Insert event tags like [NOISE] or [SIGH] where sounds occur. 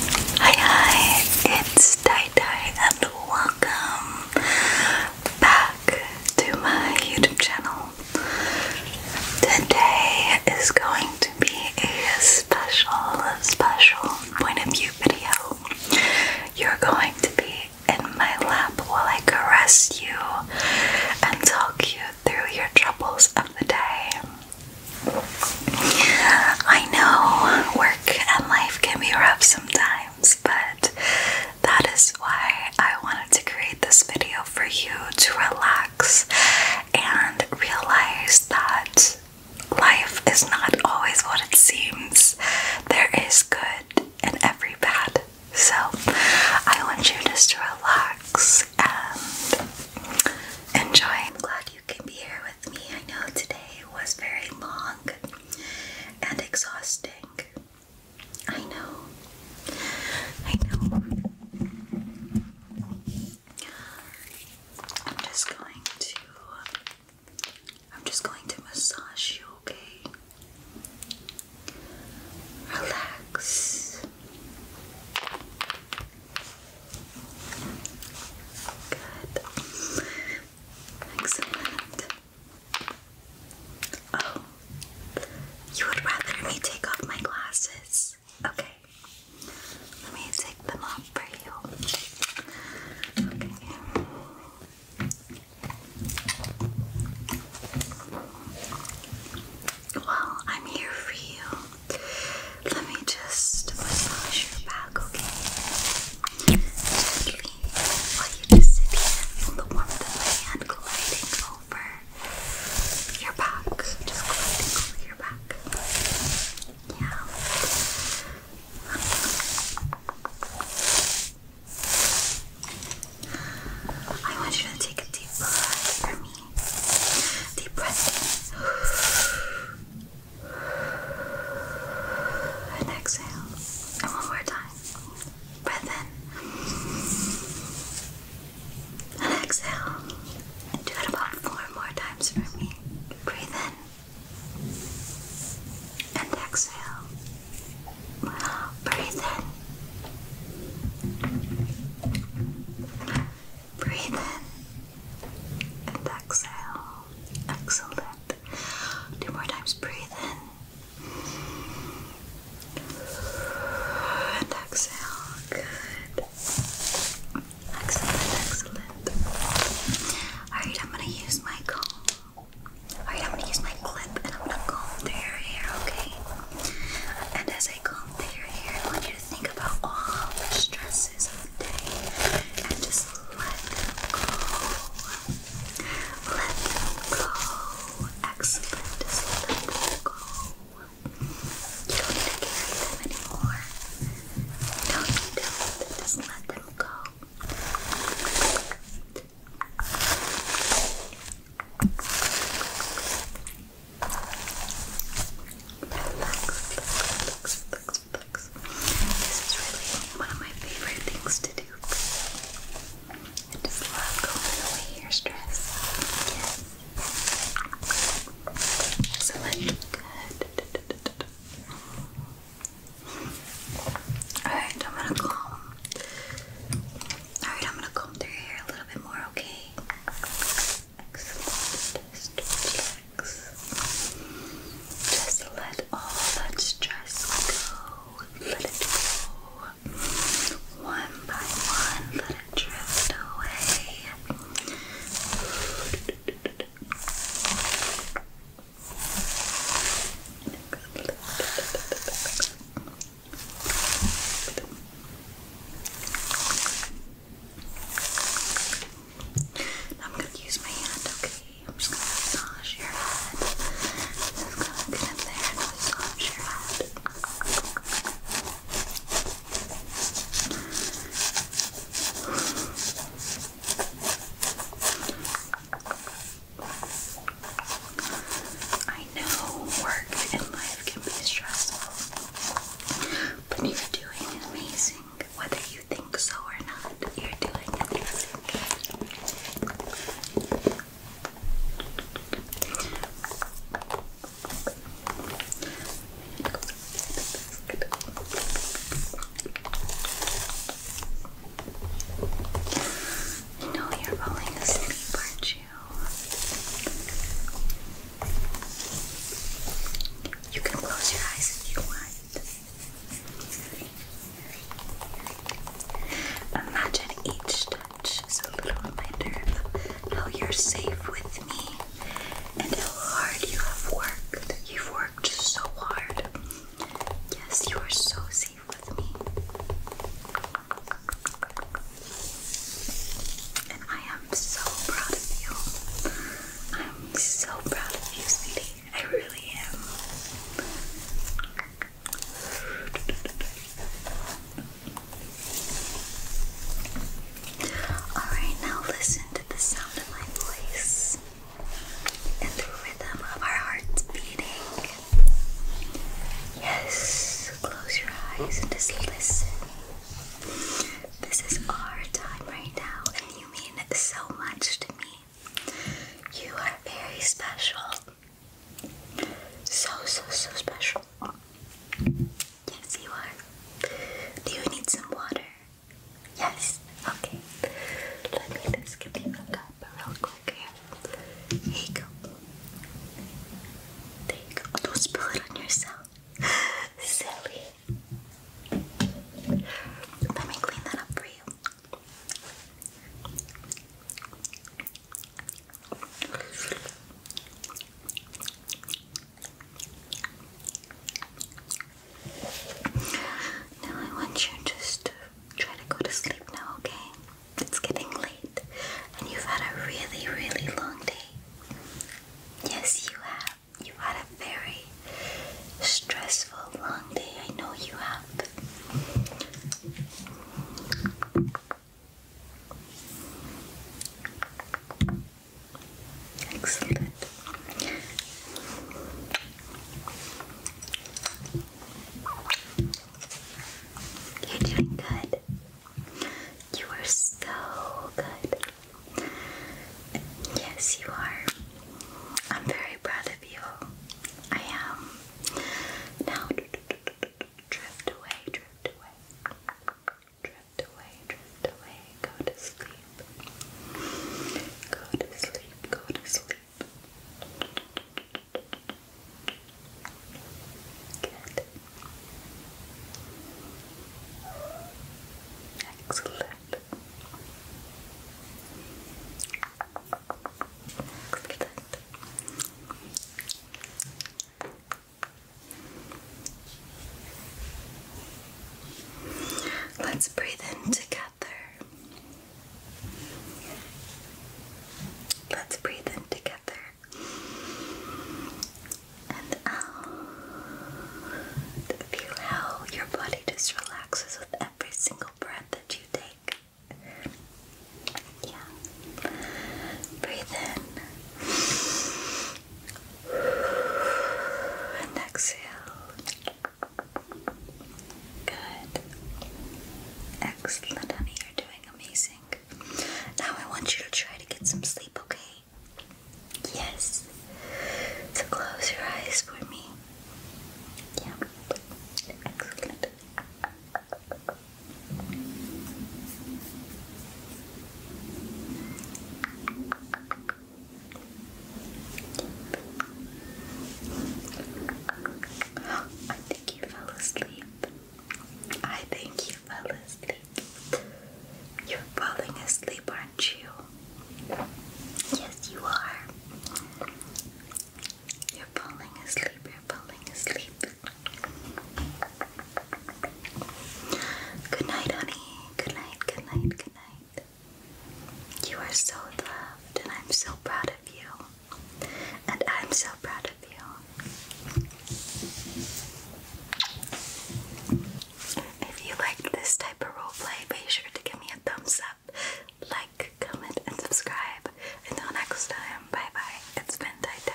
Hi hi, it's Tai Tai and welcome back to my YouTube channel. Today is going to be a special, special point of view video. You're going to be in my lap while I caress you and talk you through your troubles of the day. I know work and life can be rough sometimes, but that is why I wanted to create this video for you to relax and realize that life is not always what it seems. There is good in every bad. So I want you just to relax and enjoy you can be here with me. I know today was very long and exhausting. I know. I know. I'm just going to I'm just going to massage you, okay? Relax. Good. Excellent. Oh, you would rather me take off my glasses? Okay. Let me take them off for you. Well, I'm here for you. Let me just massage your back, okay? while you just sit here on the warmth of my hand over your back. Just gliding over your back. Yeah. I want you to take a deep breath Deep breath in. And exhale. And one more time. Breath in. And exhale. And do it about four more times for me. Breathe in. And exhale. Breathe in. Breathe in and exhale. Excellent. Two more times. Breathe in and exhale. Good. Excellent. Excellent. All right, I'm gonna use my comb. All right, I'm gonna use my clip and I'm gonna comb through your hair, okay? And as I comb through your hair, I you think about all the stresses of the day and just let them go. Let them go. Excellent. let them go. You don't need to carry them anymore. don't need to. Just let them go. Relax, relax, relax, relax. This is really one of my favorite things to do. I just love going away your stress. Yes. Excellent. Good. Alright, I'm gonna comb. Alright, I'm gonna comb through your hair a little bit more, okay? Excellent. Just let all that stress go. Let it go. One by one, let it drift away. I'm gonna use my hand, okay? I'm just gonna massage your head. Just gonna get massage your head. I know work and life can be stressful. But you're doing amazing. Whether you think so or not, you're doing amazing. I know you're falling asleep, aren't you? You can close your eyes if you want. Imagine each touch is a little reminder of how you're safe with me and how hard you have worked. You've worked so hard. Yes, you are so safe with me. And I am so proud of you. I'm so proud of you, sweetie. I really am. Alright, now listen to the sound of my voice and the rhythm of our hearts beating. Yes, close your eyes and just listen. This is our time right now, and you mean so much to me. You are very special. So, so, so special. Yes, you are. Do you need some water? Yes. Okay. Let me just give you a cup real quick Here you go. Think. don't spill it on yourself. [LAUGHS] Silly. Let me clean that up for you. Now I want you just try to go to sleep now, okay? it's getting late and you've had a really, really long day. Yes, you have. You had a very stressful, long day. I know you have. Excellent. You're doing good. You are so good. Yes, you are. I'm very proud of you. I am. Now, drift away, drift away. Drift away, drift away. Go to sleep. Go to sleep, go to sleep. Excellent. Excellent. Let's breathe in together. Let's breathe in together. And out. Feel how your body just relaxes with every single breath that you take. Yeah. Breathe in. And exhale. Good. Excellent, honey. You're doing amazing. Now I want you to try to get some sleep, okay? Yes. So close your eyes for me. Yeah. I think you fell asleep. I think you fell asleep. You're falling asleep, aren't you? Yes, you are. You're falling asleep, you're falling asleep. Good night, honey. Good night, good night, good night. You are so loved, and I'm so proud of you and I'm so proud of you. If you liked this type of roleplay, be sure to give me a thumbs up, like, comment, and subscribe. Until next time, bye bye. It's been Dai